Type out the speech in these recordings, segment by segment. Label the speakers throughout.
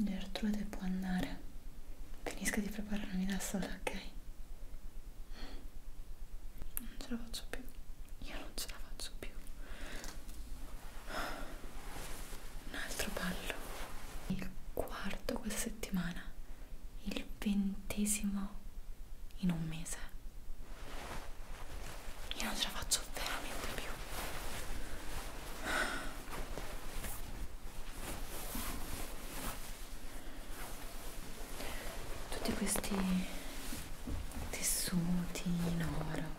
Speaker 1: Gertrude può andare. Finisco di prepararmi da sola, ok? Non ce la faccio più. Io non ce la faccio più. Un altro ballo. Il quarto questa settimana il ventesimo in un mese. Io non ce la faccio veramente più. Tutti questi tessuti in oro.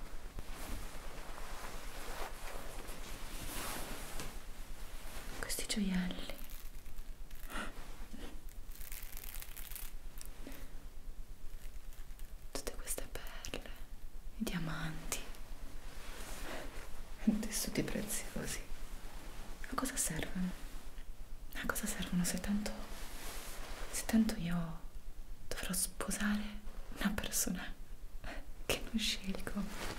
Speaker 1: Questi gioielli tutte queste perle, i diamanti, tessuti preziosi. A cosa servono? A cosa servono se tanto, se tanto io dovrò sposare una persona che non scelgo?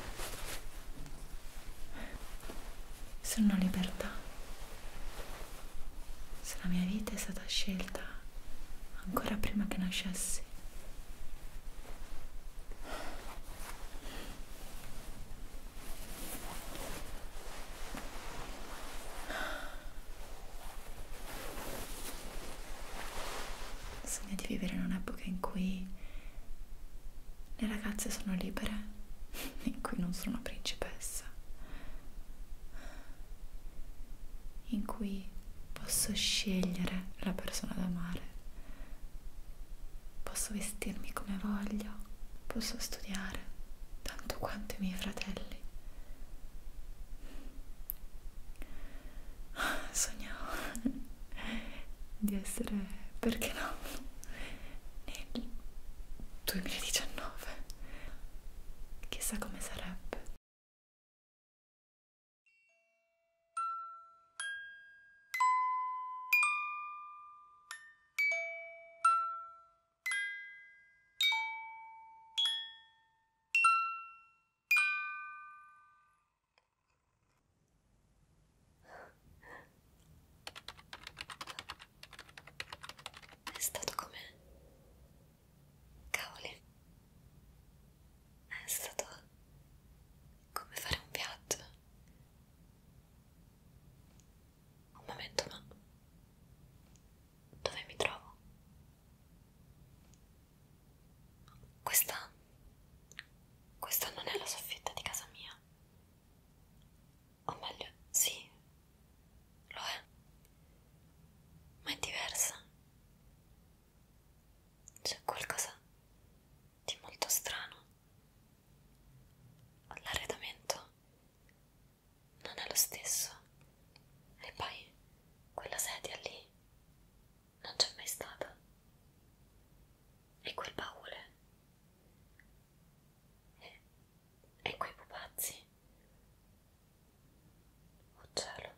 Speaker 1: Se non ho libertà se la mia vita è stata scelta ancora prima che nascessi. Sogno di vivere in un'epoca in cui le ragazze sono libere in cui non sono una principessa, in cui posso scegliere la persona da amare, posso vestirmi come voglio, posso studiare tanto quanto i miei fratelli. Ah, sognavo di essere, perché no, nel 2019. Chissà come sarebbe.
Speaker 2: È stato come... Cavoli. È stato come fare un viaggio. Un momento, ma... Dove mi trovo? Questa... Questa non è la soffitta di casa mia o meglio, sì, lo è, ma è diversa. C'è qualcosa di molto strano. L'arredamento non è lo stesso. E poi quella sedia lì non c'è mai stata. E quel baule e, e quei pupazzi? Oh cielo!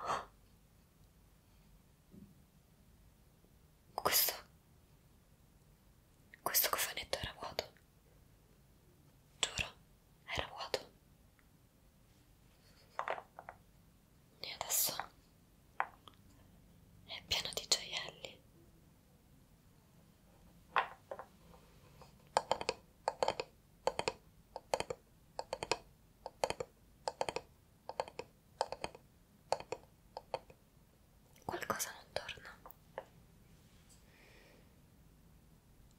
Speaker 2: Oh. Questo... questo cofanetto era vuoto. Giuro, era vuoto e adesso è pieno di gioielli qualcosa non torna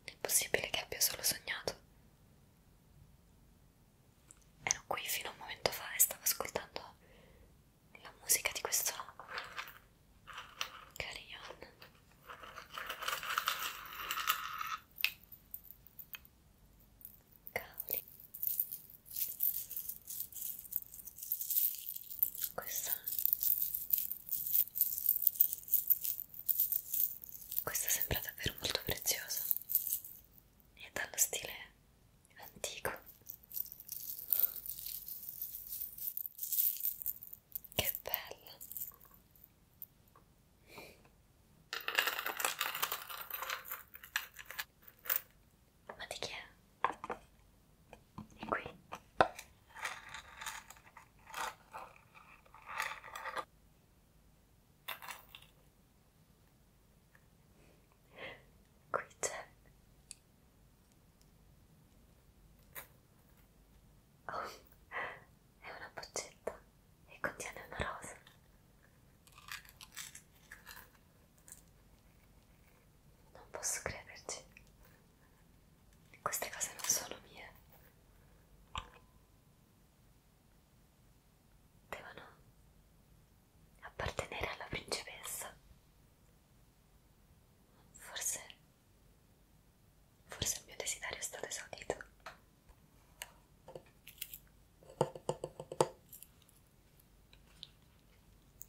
Speaker 2: è possibile che abbia solo sognato ero qui fino a un momento fa e stavo ascoltando la musica di questo carillon Cavoli. Questa questa sembra davvero molto preziosa e dallo stile antico che bella ma di chi è? è qui? qui c'è oh, è una boccetta e contiene una rosa non posso crederci queste cose non sono mie devono appartenere alla principessa. Forse, forse il mio desiderio è stato esaudito.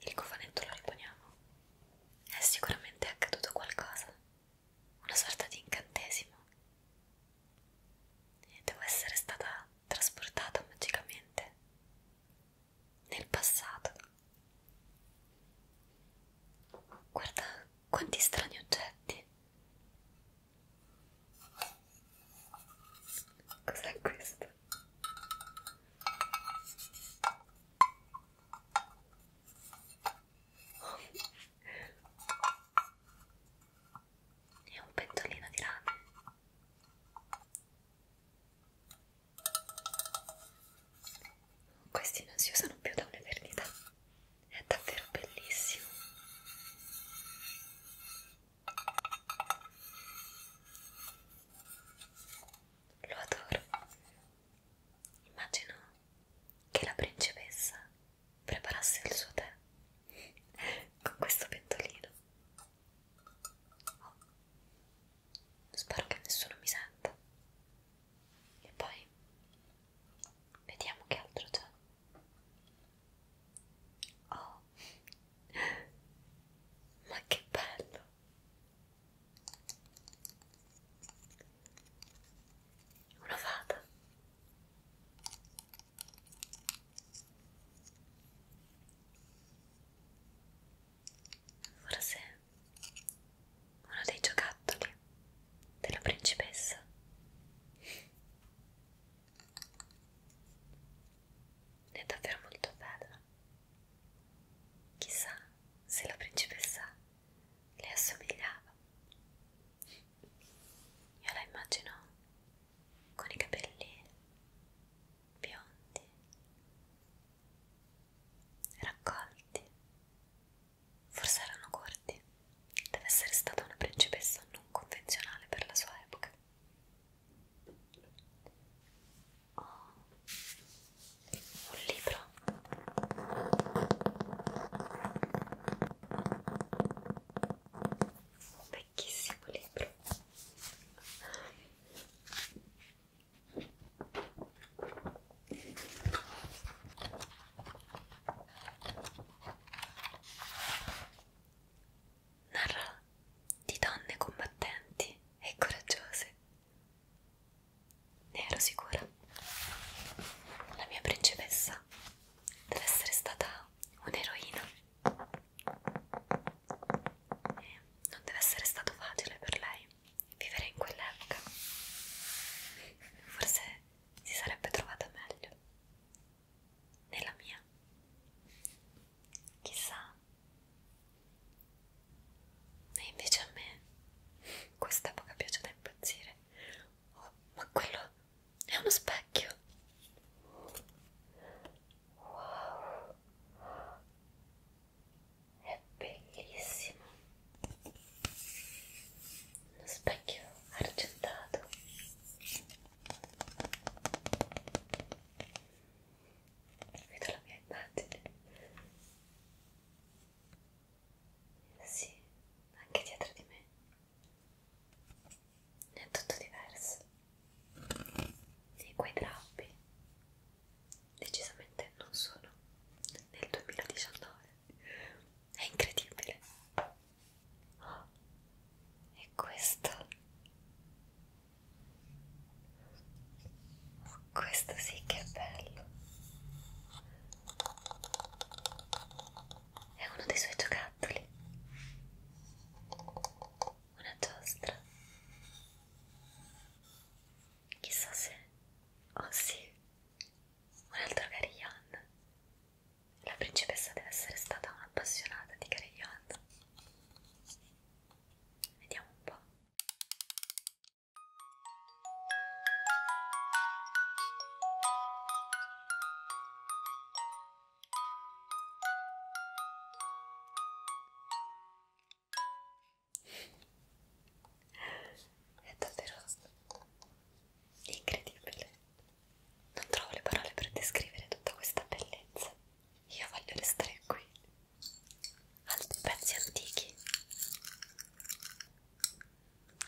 Speaker 2: Il cofanetto lo riponiamo. È sicuramente accaduto qualcosa, una sorta di incantesimo e devo essere stata trasportata magicamente nel passato. Guarda quanti strani oggetti. Cos'è questo? Oh è un pentolino di rame questi non si usano più da un'eternità è davvero bellissimo lo adoro immagino che la principessa preparasse il suo tè con questo pentolino. Oh. Spero che nessuno mi senta. E poi vediamo che altro c'è. Oh, ma che bello! una fata. Forse uno dei giocattoli della principessa. È davvero molto bella. Chissà se la principessa le assomigliava. Io la immagino con i capelli biondi, raccolti, forse erano corti. Deve essere stata una principessa non convenzionale per la sua epoca. Ho un libro un vecchissimo libro narra di donne combattenti e coraggiose ne ero sicura la mia principessa deve essere stata un'eroina. Non deve essere stato facile per lei vivere in quell'epoca. Forse si sarebbe trovata meglio nella mia. Chissà. E invece a me quest'epoca piace da impazzire. Oh, ma quello è uno specchio. Wow. È bellissimo. Uno specchio argentato. Vedo la mia immagine. Sì, anche dietro di me. È tutto diverso. E quei drappi decisamente non sono nel 2019. È incredibile. Oh, e questo? Questo sì che è bello è uno dei suoi giocattoli una giostra chissà se oh sì un altro Carillon la principessa deve essere stata un'appassionata di Carillon vediamo un po' È davvero incredibile. Non trovo le parole per descrivere tutta questa bellezza. Io voglio restare qui. Altri pezzi antichi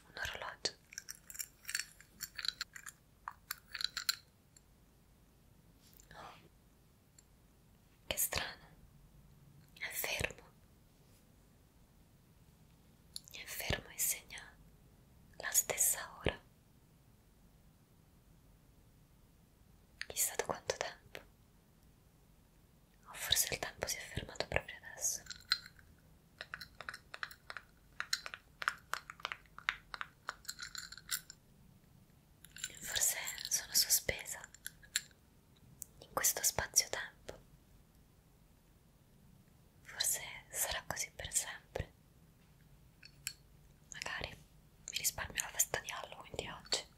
Speaker 2: un orologio oh che strano è fermo è fermo e segna la stessa ora chissà da quanto tempo o oh, forse il tempo si è fermato proprio adesso. Forse sono sospesa in questo spazio-tempo. Forse sarà così per sempre. Magari mi risparmio la festa di Halloween di oggi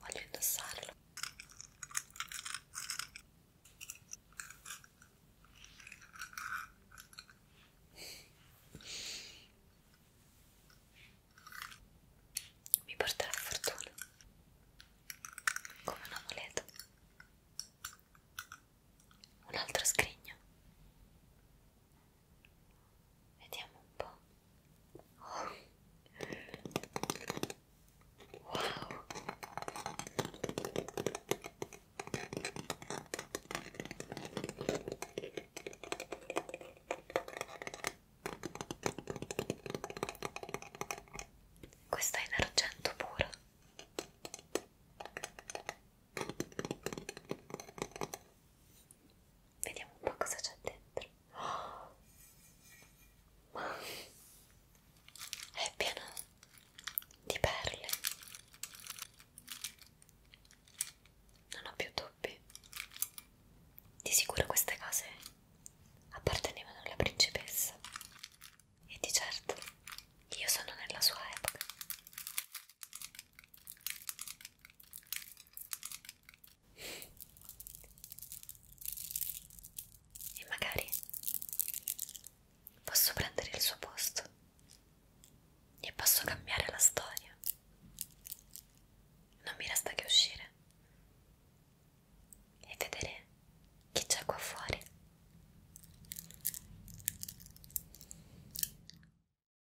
Speaker 2: voglio indossarlo mi porterà fortuna come un amuleto un altro scrigno Vediamo un po'. Oh. Wow. Questo è in argento puro. Vediamo un po' cosa c'è dentro. Oh! Ma è pieno di perle. Non ho più dubbi. Di sicuro queste cose appartenevano alla principessa. E di certo io sono nella sua epoca. E magari posso prendere il suo posto e posso cambiare la storia. Non mi resta che uscire e vedere chi c'è qua fuori.